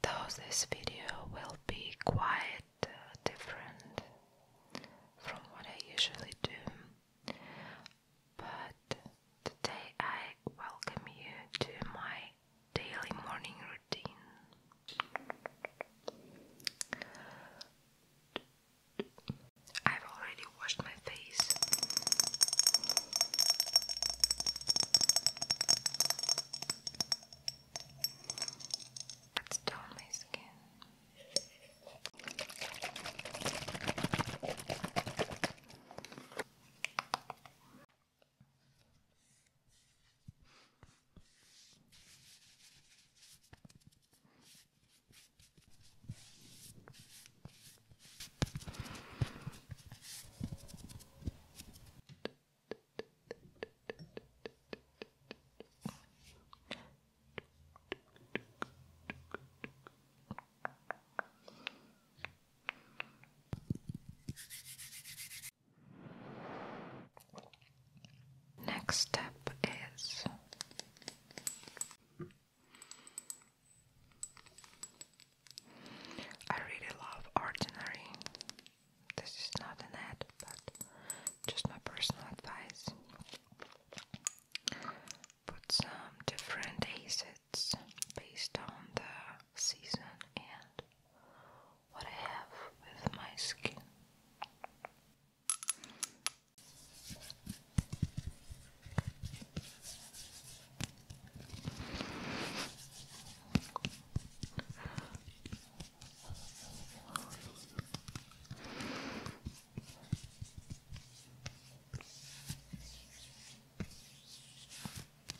Though this video will be quite uh, different from what I usually do, but today I welcome you to my daily morning routine. I've already washed my face. Let's tone my skin. Next step is I really love Ordinary. This is not an ad, but just my personal advice. Put some different acids based on the season and what I have with my skin.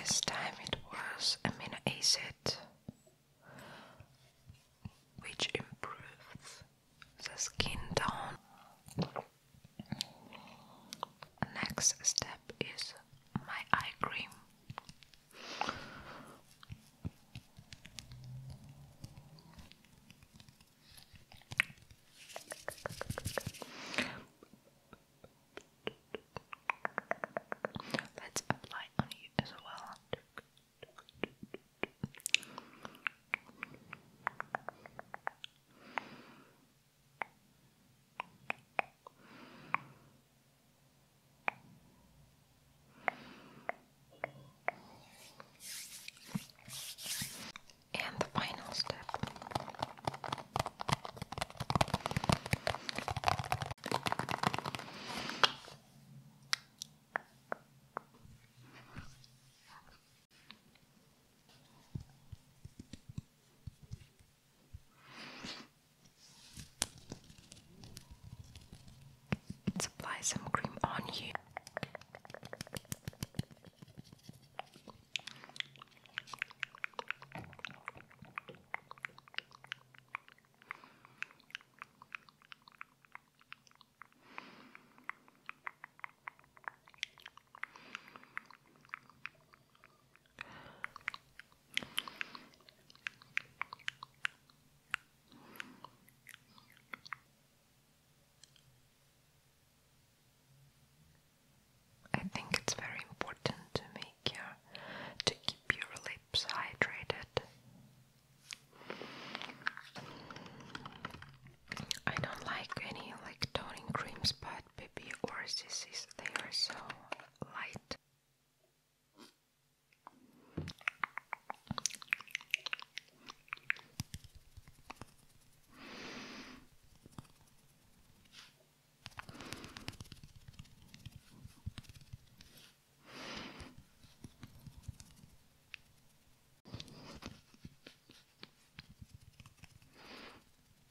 This time it was amino acid which improves the skin tone. Next step is my eye cream. Let's apply on you as well. And the final step apply some cream on you. I think it's very important to make your to keep your lips hydrated. I don't like any like toning creams, but baby or CC's they are so light.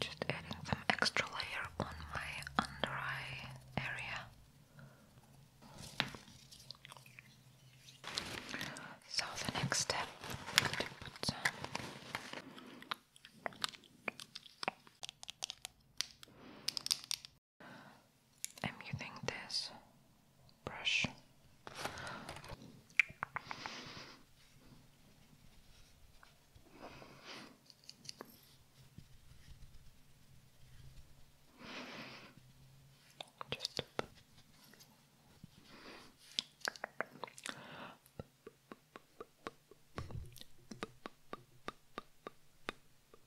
Just adding some extra layer on my under eye area. So the next step I'm using this brush. Just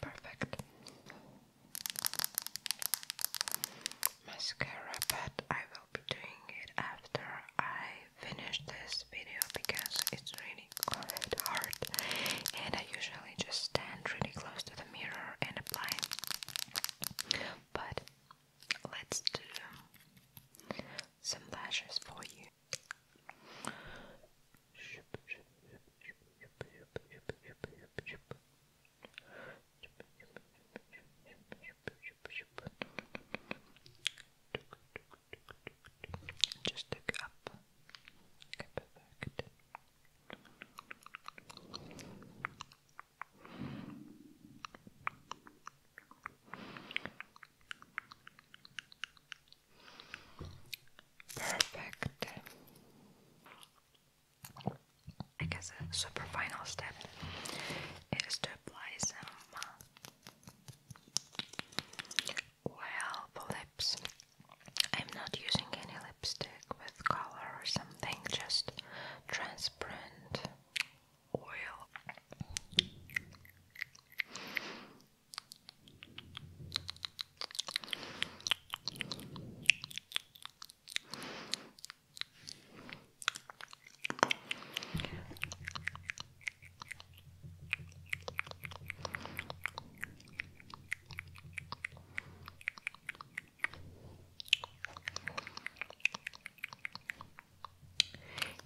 Perfect mascara, but I will be doing it after I finish this video because it's really quite hard and I usually just stand really close to the mirror and apply but let's do some lashes for you just look up. Perfect. I guess a super final step is to apply some well, the lips. I'm not using any lipstick with color or something, just transparent oil.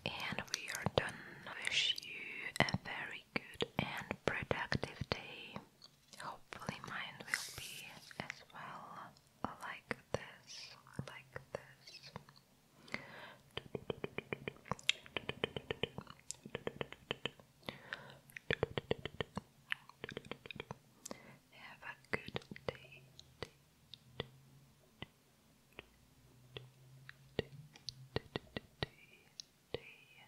And we are done. Wish you a very good and productive day. Hopefully, mine will be as well like this, like this. Have a good day. day, day, day, day.